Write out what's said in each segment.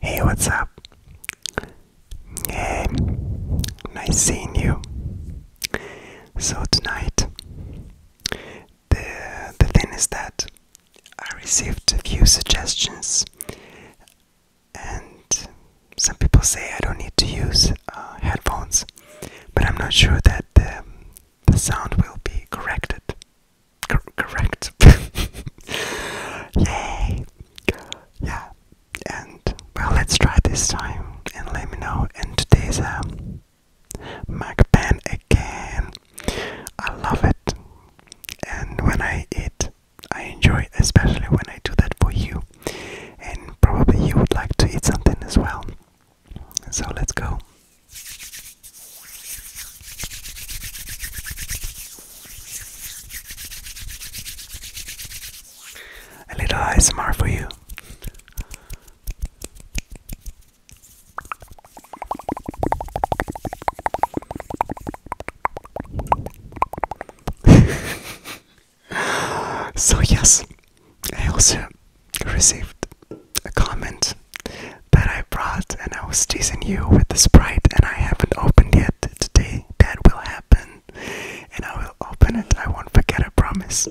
Hey, what's up? Hey, nice seeing you. So tonight, the the thing is that I received a few suggestions, and some people say I don't need to use uh, headphones, but I'm not sure that the, the sound will be corrected correct. Yay! Yeah. And well, let's try this time and let me know. And today's um, Mac pen again. I love it. And when I eat, I enjoy, especially when I do that for you. And probably you would like to eat something as well. So let's go. A little ASMR for you. so yes, I also received a comment that I brought and I was teasing you with the sprite and I haven't opened yet today. That will happen and I will open it. I won't forget, a promise.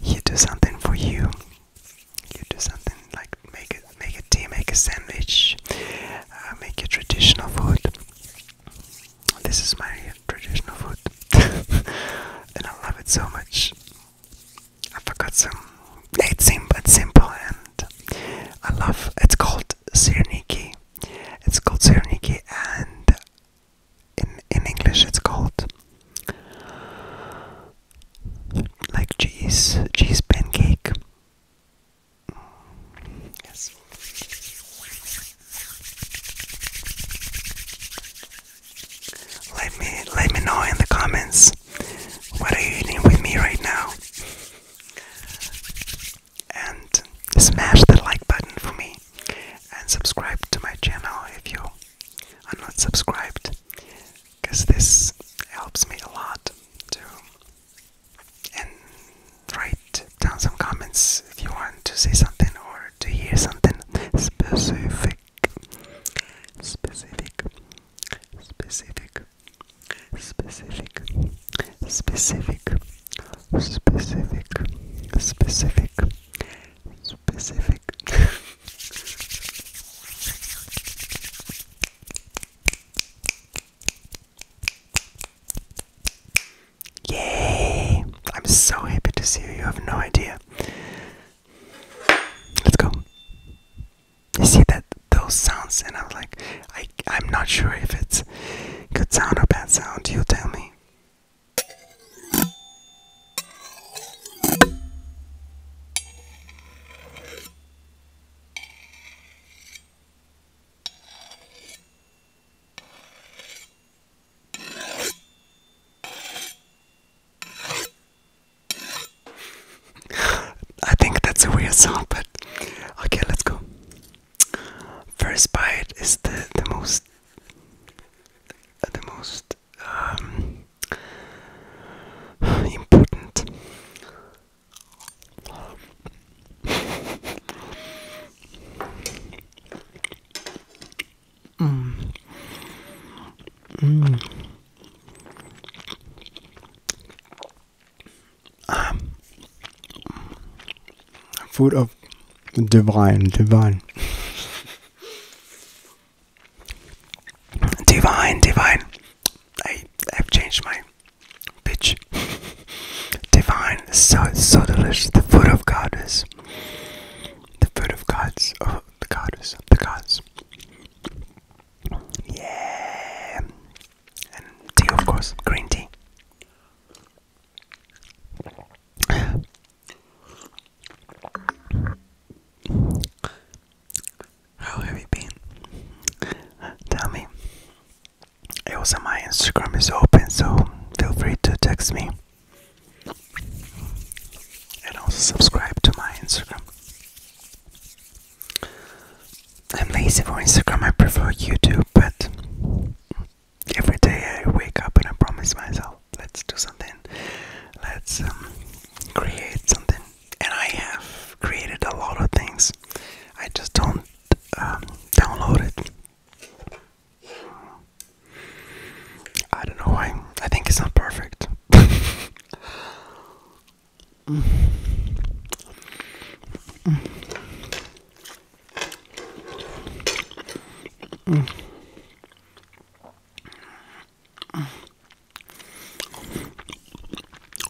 You do something for you. You do something like make it, make a tea, make a sandwich, uh, make a traditional food. This is my traditional food, and I love it so much. I forgot some. It's simple, it's simple, and I love. It's called Sirniki. It's called Sirniki, and in in English, it's called like cheese cheese pancake. Yes. Let me let me know in the comments what are you eating with me right now. And smash the like button for me and subscribe to my channel if you are not subscribed because this helps me a lot too. And write down some comments if you want to see something or to hear something specific, specific, specific, specific, specific, specific, specific, specific. Yay! I'm so happy to see you, you have no idea. Let's go. You see that those sounds and I'm like I I'm not sure if it's good sound or bad sound, you tell me. I think that's a weird sound, but okay, let's go. First bite is the the most the most um, important. Mm. Mm. Um, food of divine, divine. Divine, divine. I have changed my pitch. Divine, so so delicious. The food of God is the food of gods, oh, the gods, of the gods. Yeah, and tea, of course, green tea. How have you been? Tell me. Also, my Instagram is open, so feel free to text me and also subscribe to my Instagram. I'm lazy for Instagram, I prefer YouTube, but every day I wake up and I promise myself, let's do something, let's um, create something. And I have created a lot of things, I just don't um, download it. I don't know why. I think it's not perfect.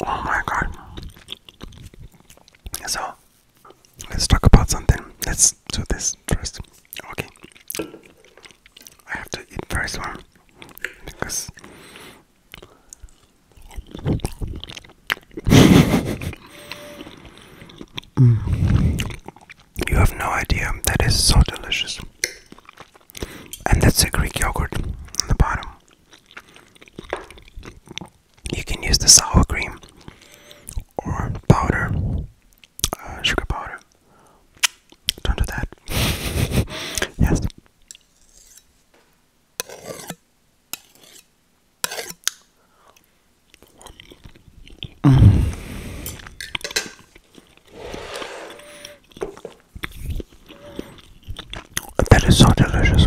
Oh my god. So Let's talk about something. Let's do this first. Okay. I have to eat first one because you have no idea. That is so delicious. And that's a Greek yogurt on the bottom you can use the sour cream or powder, uh, sugar powder. Don't do that. yes. Mm. That is so delicious.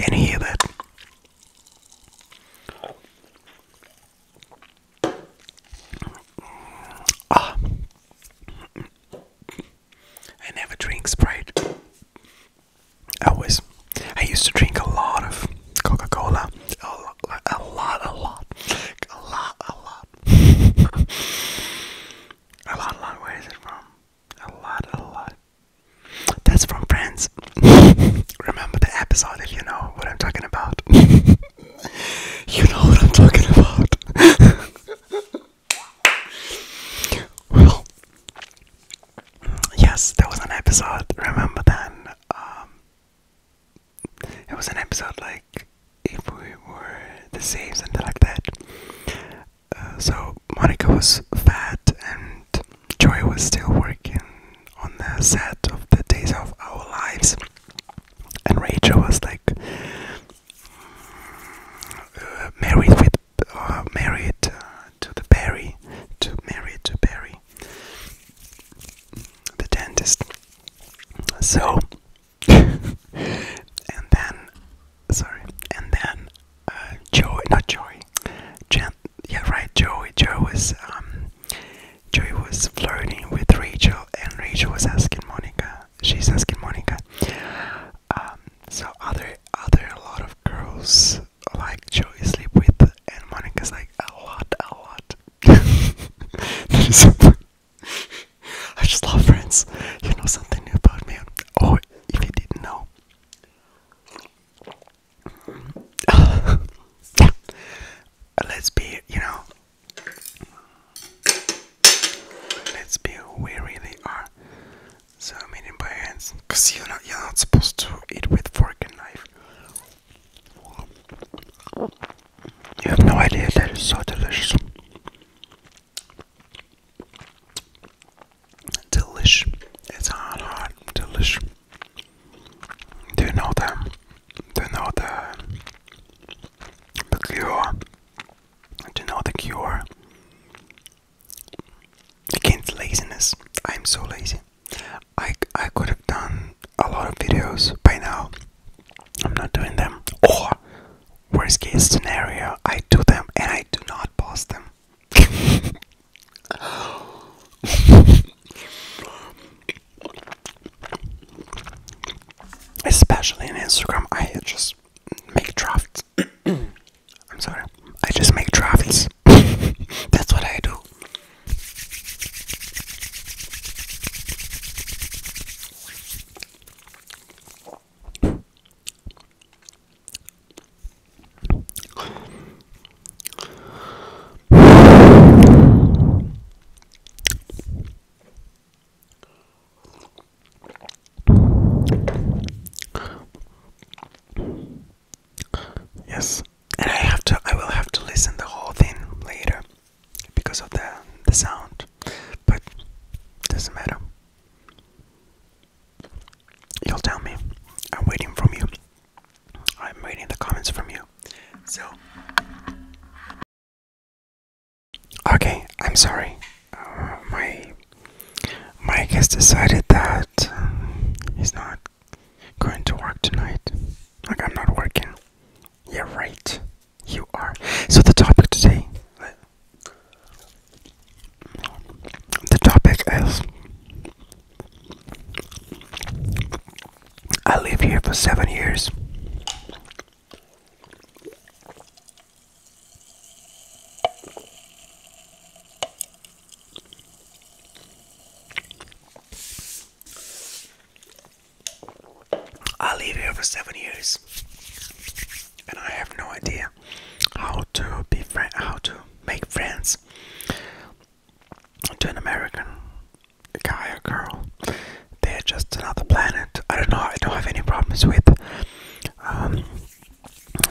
Can you hear that? Ah. I never drink Sprite. always I used to drink a lot of Coca-Cola. A lot, a lot, a lot, a lot, a lot. a lot, Where is it from? A lot, a lot. That's from Friends. Remember the episode if you know what I'm talking about. you know what I'm talking about. yes, there was an episode. Remember then? Um, it was an episode like if we were the same, something like that. Uh, so Monica was fat, and Joy was still working on the set of the Days of Our Lives, and Rachel was like uh, married with uh, married to the Barry, to married to Barry. The dentist. So, and then, sorry, and then uh, Joey, not Joey, Jan, yeah, right, Joey. Joey was, um, Joey was flirting with Rachel, and Rachel was asking Monica. She's asking Monica. Um, so other, other, a lot of girls like Joey sleep with, and Monica's like a lot, a lot. I just love friends. You know something new about me, oh, if you didn't know. Let's be, you know, let's be who we really are. So, meaning by hands, because you're not, you're not supposed to eat with fork and knife. You have no idea that is so delicious. Delish. It's hot, hot, delish. Do you know them? Do you know the the cure? Do you know the cure? against laziness. I'm so lazy. I, I could have done a lot of videos by now. I'm not doing them. Or, worst case scenario, I do them and I do not post them. Especially in Instagram, I just make drafts. I'm sorry. I just make travels. That's what I do. Yes, and I have to. I will have to listen the whole thing later because of the the sound, but doesn't matter. You'll tell me. I'm waiting from you. I'm waiting the comments from you. So. Okay, I'm sorry. Uh, my Mike has decided that um, he's not going to work tonight. Like, I'm not working. Yeah, right. You are. So, the topic today. The topic is I live here for seven years. I live here for seven years, and I have no idea how to be friend, how to make friends to an American guy or girl. They're just another planet. I don't know. I don't have any problems with um,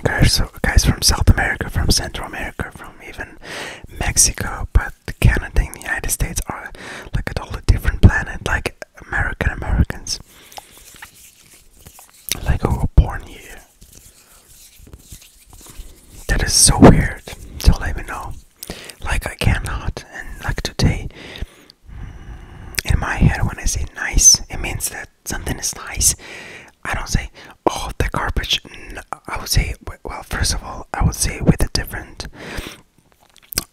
Guys, so guys from South America, from Central America, from even Mexico, but Canada and the United States are like at a totally different planet, like American Americans, like who were born here. That is so weird. So let me know. Like I cannot, and like today, in my head, when I say nice, it means that something is nice, I don't say, oh, the garbage. I would say, well, first of all, I would say with a different,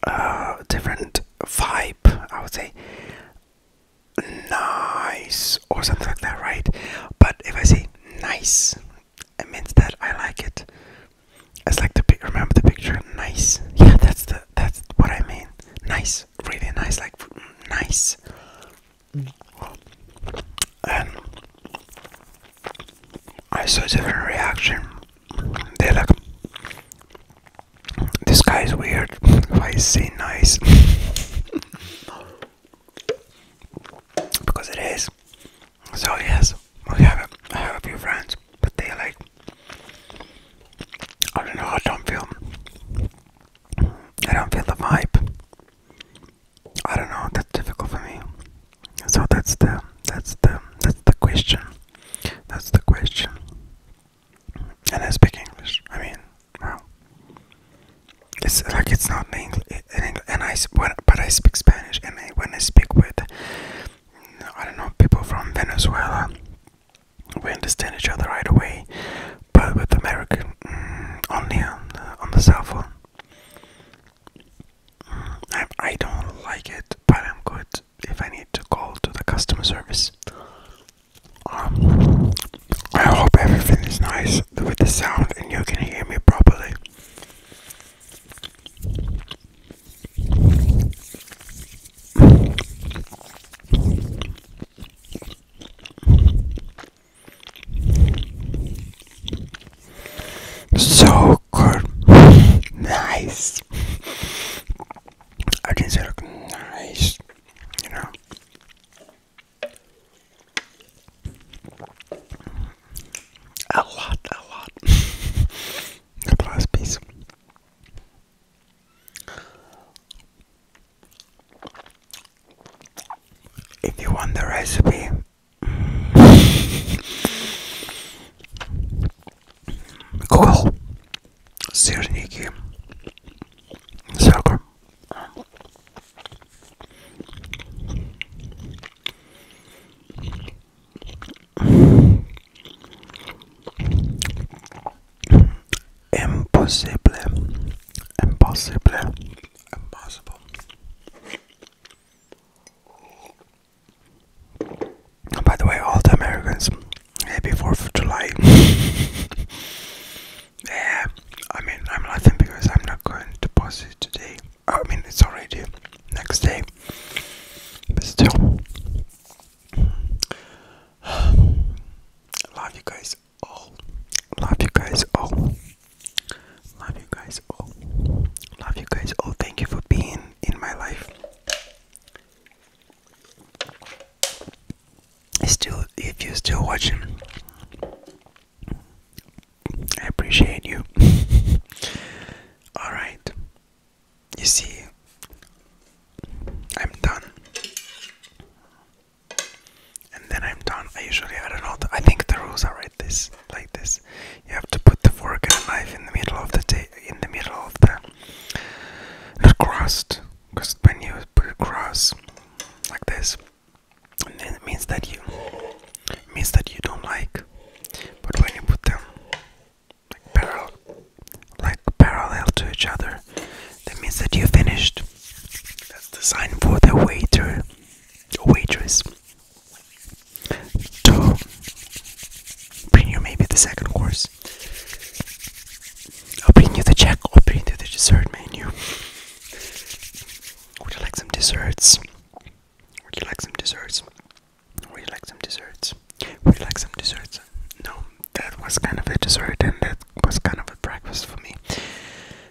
uh, different vibe. I would say nice or something like that, right? But if I say nice, it means that I like it. It's like the remember the picture, nice. Yeah, that's the that's what I mean. Nice nice, really nice, like nice. And I saw different reaction. They like, this guy is weird. Why is nice? because it is. So yes, I have a few friends, but they like. I don't know. I don't feel. I don't feel the vibe. I don't know. That's difficult for me. So that's the that's the that's the question. That's the question. And I speak English. I mean, wow. It's like it's not in English. And I when, but I speak Spanish. And when I speak with, I don't know, people from Venezuela, we understand each other right away, but with American mm, only on the, on cell phone. Mm, I, don't like it, but I'm good if I need to call to the customer service. Um, I hope everything is nice with the sound and you can hear me properly. So good, nice. I did say look nice, you know. A lot, a lot. the last piece. If you want the recipe, Google сырники сахар. Impossible. Impossible. Impossible. By the way, all the Americans, happy 4th of July. yeah, I mean, I'm laughing because I'm not going to post it today. I mean, it's already next day, but still. Love you guys all. Love you guys all. Love you guys all. Love you guys all. Thank you for being in my life. Still, if you're still watching, I appreciate you. Alright, you see, I'm done. And then I'm done. I usually I don't know. I think the rules are right this like this. You have to put the fork and knife in the middle of the ta in the middle of the not crust because when you put crust like this, it means that you means that you don't like. But when you put them like parallel, like parallel to each other. That means that you finished. That's the sign for the waiter, waitress. To bring you maybe the second course. I'll bring you the check. I'll bring you the dessert menu. Would you like some desserts? Would you like some desserts? We like some desserts. We like some desserts. No, that was kind of a dessert and that was kind of a breakfast for me.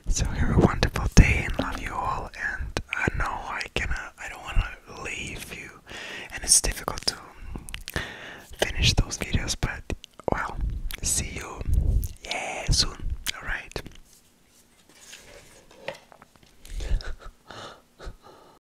So have a wonderful day and love you all. And I know I cannot, I don't want to leave you, and it's difficult to finish those videos. But well, see you, yeah, soon. All right.